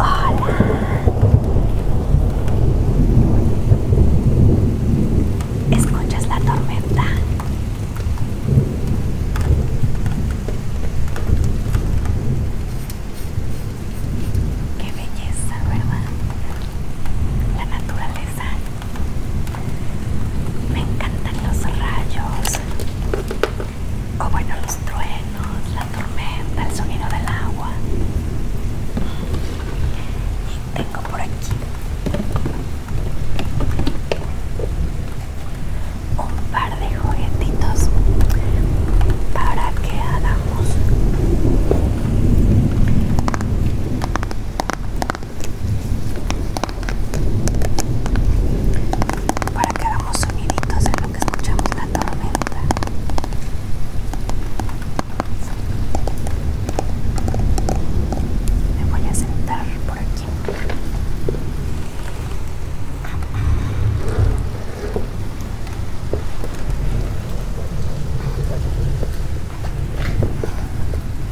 Hola. Escuchas la tormenta. Qué belleza, ¿verdad? La naturaleza. Me encantan los rayos. O bueno, los truenos, la tormenta, el sonido del agua. Y tengo por aquí un par de juguetitos para que hagamos para que hagamos soniditos en lo que escuchamos la tormenta. Me voy a sentar por aquí.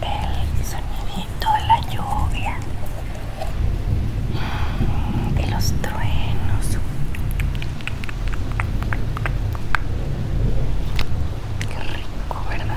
El sonido de la lluvia, de mm, los truenos. Qué rico, ¿verdad?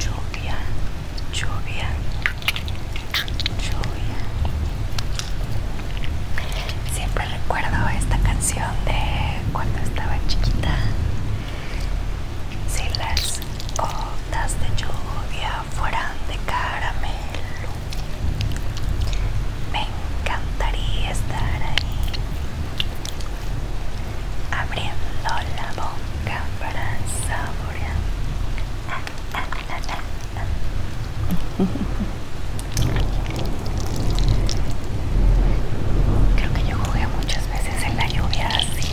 lluvia, lluvia, lluvia. Siempre recuerdo esta canción de cuando estaba chiquita. Si las gotas de lluvia fueran de caramelo, me encantaría estar ahí abriendo la boca para saborear. Creo que yo jugué muchas veces en la lluvia así.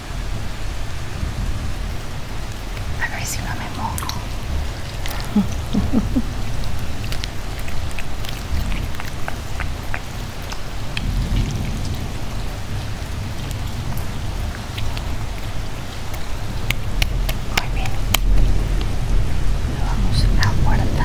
A ver si no me mojo. Muy bien. vamos a la puerta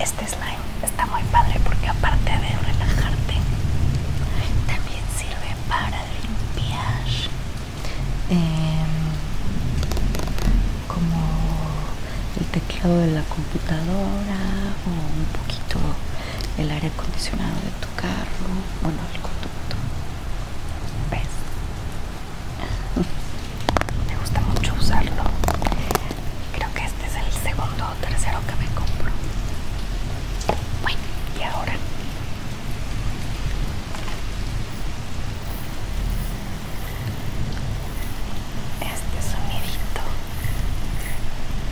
Este slime está muy padre porque aparte de relajarte, también sirve para limpiar em, como el teclado de la computadora o un poquito el aire acondicionado de tu carro, bueno, el conducto. ¿Ves? Me gusta mucho usarlo. Creo que este es el segundo o tercero que me compro. Bueno, y ahora. Este sonidito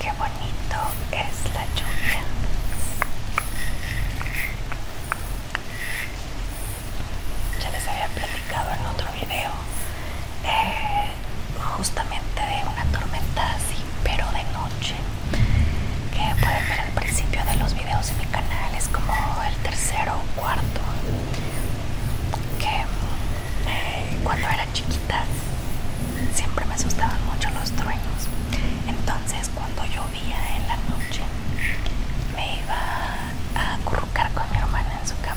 Qué bonito es la lluvia. Ya les había platicado en otro video eh, justamente de una tormenta así, pero de noche. Que pueden ver al principio de los videos en mi canal, es como el tercero o cuarto. Que eh, cuando era chiquita siempre me asustaban mucho los truenos. Entonces cuando llovía en la noche me iba a acurrucar con mi hermana en su cama.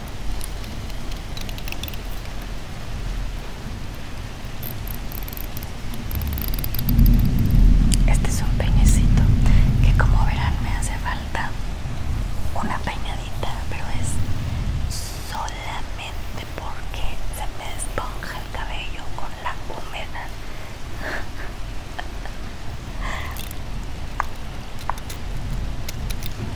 Este es un peñecito que como verán me hace falta una peinadita, pero es solamente porque se me esponja el cabello con la humedad.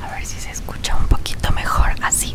A ver si se escucha un poquito mejor así.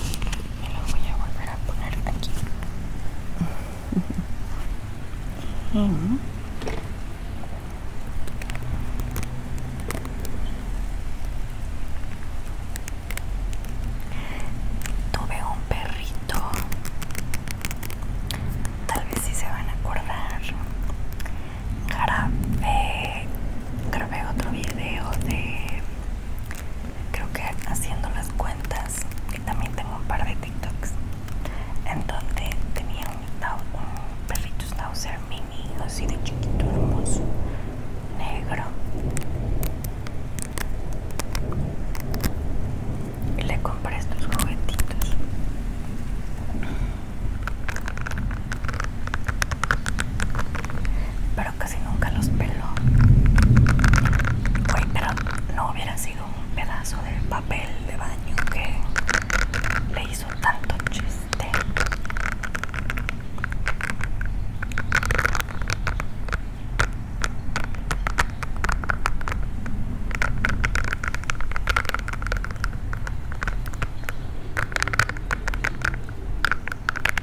y lo voy a volver a poner aquí tuve un perrito tal vez si sí se van a acordar grave grabé otro video de creo que haciendo las cuentas y también tengo un par de tiktoks en donde tenía un, perrito schnauzer mini así de chiquito hermoso negro y le compré estos juguetitos pero casi nunca los peló. pero no hubiera sido un pedazo de papel de baño que le hizo tanto chiste.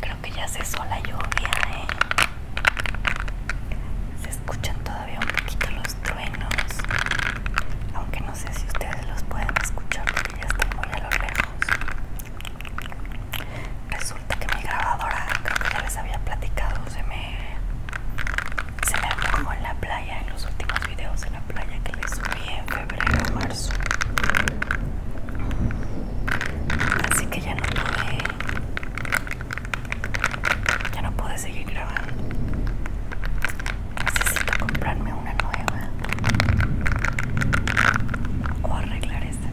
Creo que ya se la lluvia, ¿eh? Se escuchan todavía un poquito los truenos, aunque no sé si ustedes los pueden escuchar porque ya están muy a lo lejos. Resulta que mi grabadora, creo que ya les había platicado, se me se la arrojó en la playa, en los últimos videos en la playa que les subí en febrero o marzo. Así que ya no pude, ya no pude seguir grabando. Necesito comprarme una nueva o arreglar esta.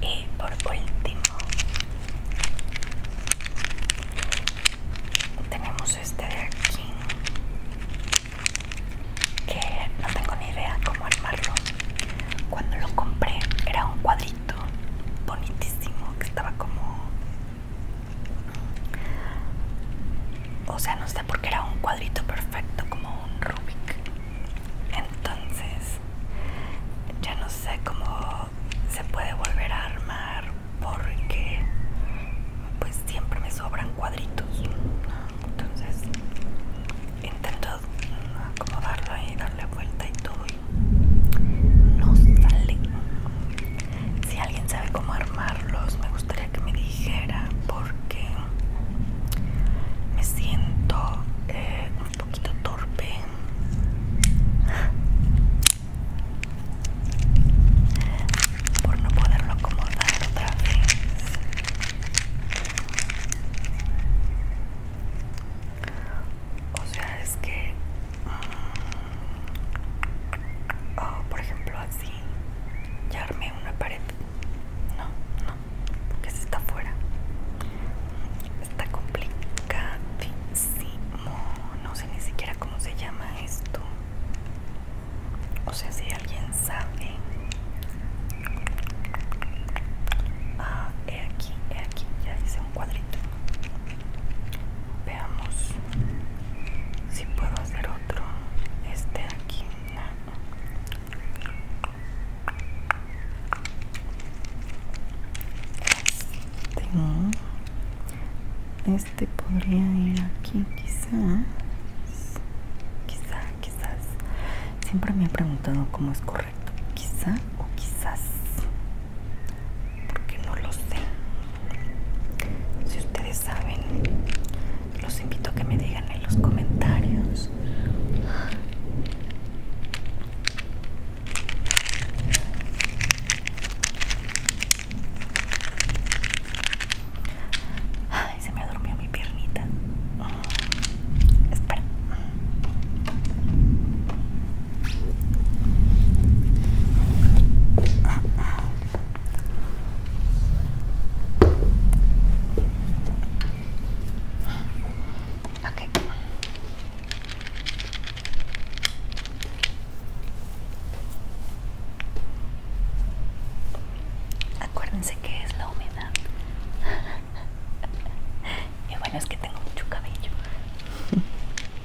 Y por último, tenemos este de aquí que no tengo ni idea cómo armarlo. Cuando lo compré era un cuadrito bonitísimo que estaba como o sea, no sé por qué era un cuadrito perfecto como un Rubik. Entonces, ya no sé cómo se puede volver a armar porque pues siempre me sobran cuadritos. Entonces, intento acomodarlo y darle vuelta y todo no sale. Si alguien sabe cómo armarlos, me gustaría que me dijera porque me siento eh, un poquito torpe. Por no poderlo acomodar otra vez. O sea, es que... Ah, oh, por ejemplo, así. Ya armé una pared. No, no. Porque si está fuera Está complicadísimo. No sé ni siquiera cómo se llama esto. O sea, si alguien sabe... Ah, he aquí, he aquí, ya hice un cuadrito. Veamos si puedo hacer otro. Este aquí. Este podría ir aquí quizás. Quizá, quizás. Siempre me ha preguntado cómo es correcto. Quizá o quizás porque no lo sé. Si ustedes saben, los invito a que me digan en los comentarios. Ay, se me durmió mi piernita. Espera. Okay. Acuérdense que es la humedad. y bueno, es que tengo mucho cabello.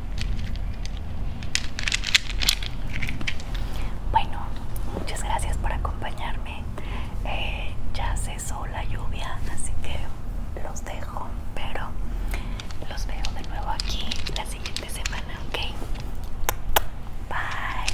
Bueno, muchas gracias por acompañarme. Eh, ya cesó la lluvia, así que los dejo, pero los veo de nuevo aquí la siguiente semana, ¿ok? Bye.